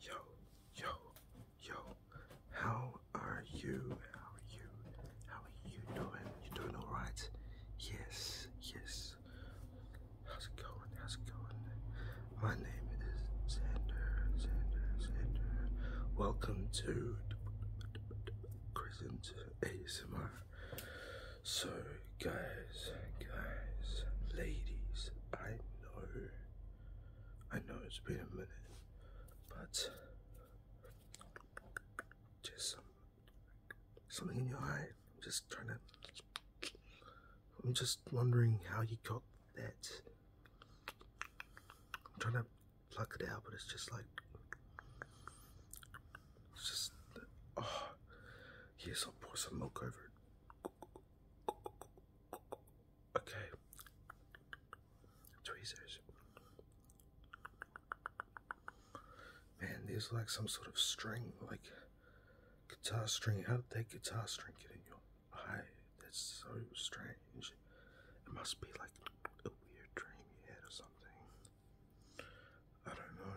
Yo, yo, yo, how are you? How are you? How are you doing? You doing alright? Yes, yes. How's it going? How's it going? My name is Xander, Xander, Xander. Welcome to Crescent ASMR. So, guys, guys, ladies, I know. I know it's been a minute, but just something in your eye. I'm just trying to. I'm just wondering how you got that. I'm trying to pluck it out, but it's just like. It's just. Oh. Yes, I'll pour some milk over it. Okay. Tweezers. Man, these are like some sort of string, like guitar string. How did that guitar string get in your eye? That's so strange. It must be like a weird dream you had or something. I don't know.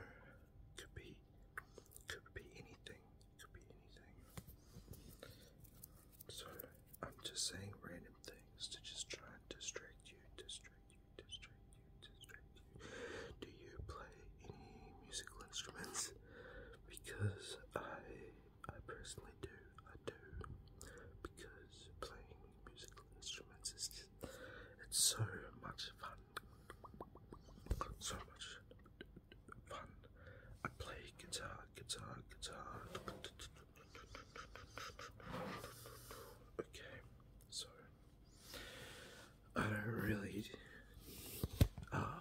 Could be, could be anything. Could be anything. So I'm just saying random things to just try and distract you, distract you, distract you, distract you. Do you play any musical instruments? Because I, I personally do. I do. Because playing musical instruments is it's so much fun. So much fun. I play guitar, guitar, guitar. Okay, so I don't really. Ah,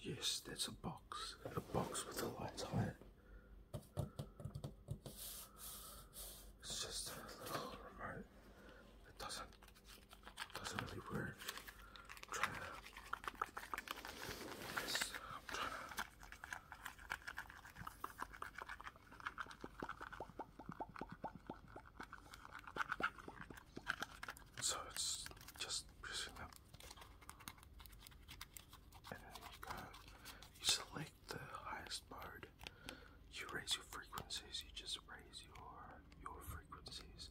yes, that's a box. A box with a light on it. It's just a little remote It doesn't doesn't really work. So it's just pressing up. And then you go, you select the highest mode you raise your frequencies, you just raise your your frequencies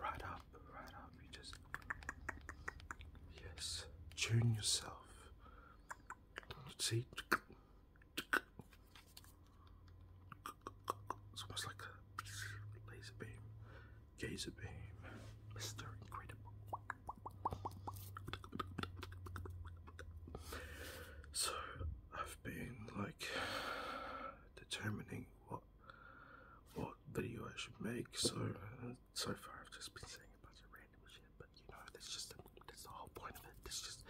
right up, right up. You just Yes. Tune yourself. See? It's almost like a laser beam, gazer beam, Mr. Incredible. So, I've been like determining what what video I should make. So uh, so far I've just been saying a bunch of random shit, but you know that's just that's the whole point of it. That's just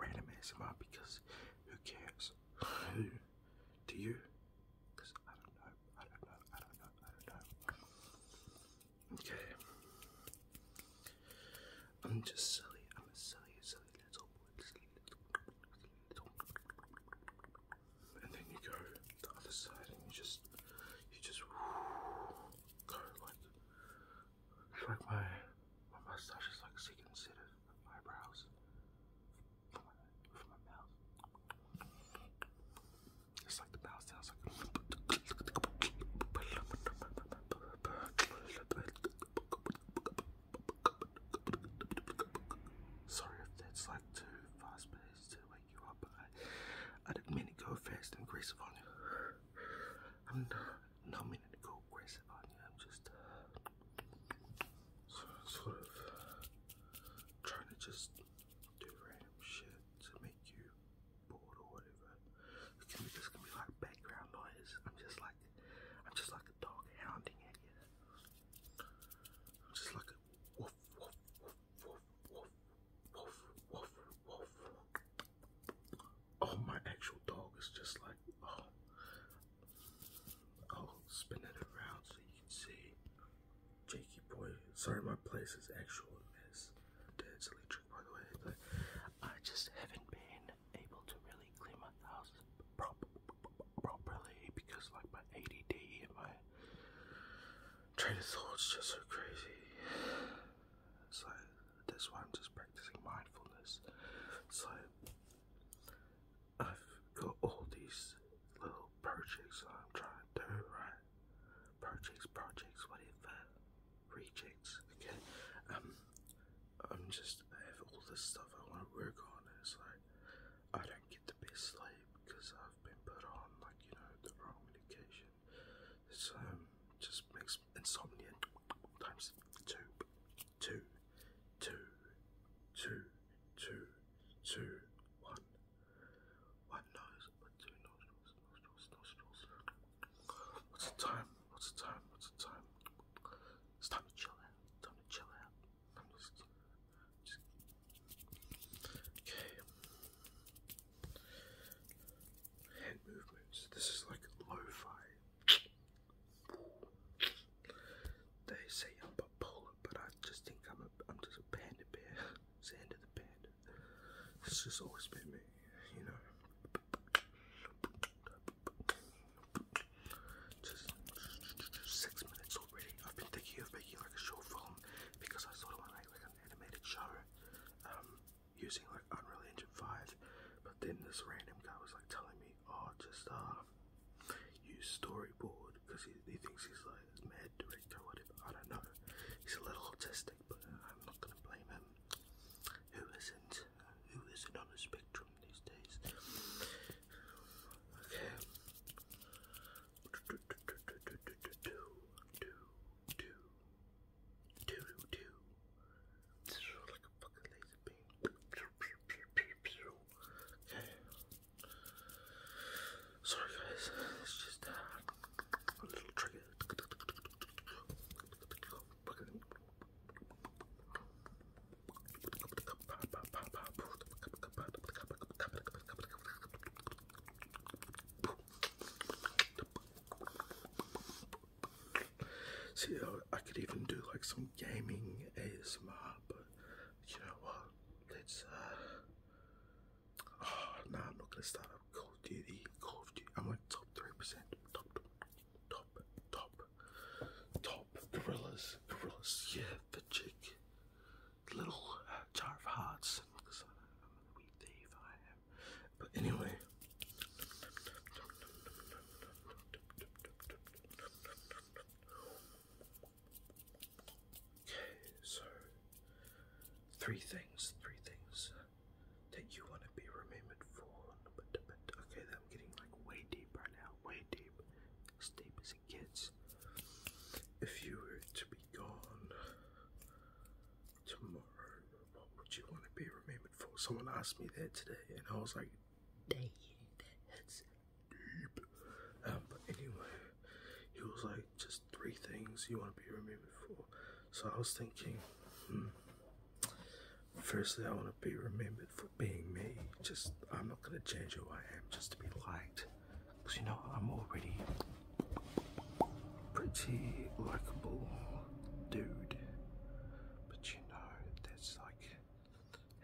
random as ASMR because who cares? Who do you? Because I don't know. I don't know. I don't know. I don't know. Okay. I'm just silly. I'm a silly, silly little boy. little, little. And then you go the other side, and you just, you just go like. like my my mustache is like second set of eyebrows for my, for my mouth. It's like the mouth sounds Sorry if that's like too fast paced to wake you up, I, didn't mean to go fast and aggressive on you. I'm not, not meaning to go aggressive on you, I'm just uh, sort of trying to just do random shit to make you bored or whatever. It's gonna be just gonna be like background noise. I'm just like I'm just like a dog hounding at you. I'm just like a woof woof woof woof woof woof woof woof. Oh my actual dog is just like oh I'll oh, spin it around so you can see. Jakey boy, sorry my place is actual mess. That's a by the way. I just haven't been able to really clean my house properly because, like, my ADD and my train of thought's just so crazy. It's like that's why I'm just practicing mindfulness. So I've got all these little projects that I'm trying to do, right? projects, projects, what if uh, rejects? Okay, um, I'm just, I have all this stuff I want to work on, it's like, I don't get the best sleep because I've been put on, like, you know, the wrong medication. It's, um, just makes insomnia times two, two, two, two, two, two, one. One nose, two nostrils, nostrils, nostrils. What's the time? What's the time? What's the time? time to chill out. Time to chill out. okay. Hand movements. This is like lo-fi. They say I'm bipolar, but I just think I'm a, I'm just a panda bear. Xander the panda. It's just always been me, you know. Just, six minutes already. I've been thinking of making like a short film because I sort of want like an animated show um, using like Unreal Engine 5. But then this random guy was like telling me, oh, just uh, use storyboard because he, thinks he's like a mad director or whatever. I don't know. He's a little autistic, but I'm not gonna blame him. Who isn't? Who isn't on the spectrum these days? Okay. Sorry guys, it's just uh, a little trigger. See, I could even do like some gaming ASMR, but you know what? Let's uh Oh, nah, I'm not gonna start up Call of Duty. Call of Duty. I'm like top three percent. Top, top, top, top. Gorillas, gorillas. Yeah, the chick, little uh, jar of hearts. But anyway. Okay, so three things, three things that you want to be remembered for. Okay, I'm getting like way deep right now, way deep, as deep as it gets. If you were to be gone tomorrow, what would you want to be remembered for? Someone asked me that today, and I was like, dang, that's um, but anyway, he was like, just three things you want to be remembered for. So I was thinking, hmm, firstly, I want to be remembered for being me. Just, I'm not going to change who I am just to be liked. Because, you know, I'm already pretty likable dude. But, you know, that's like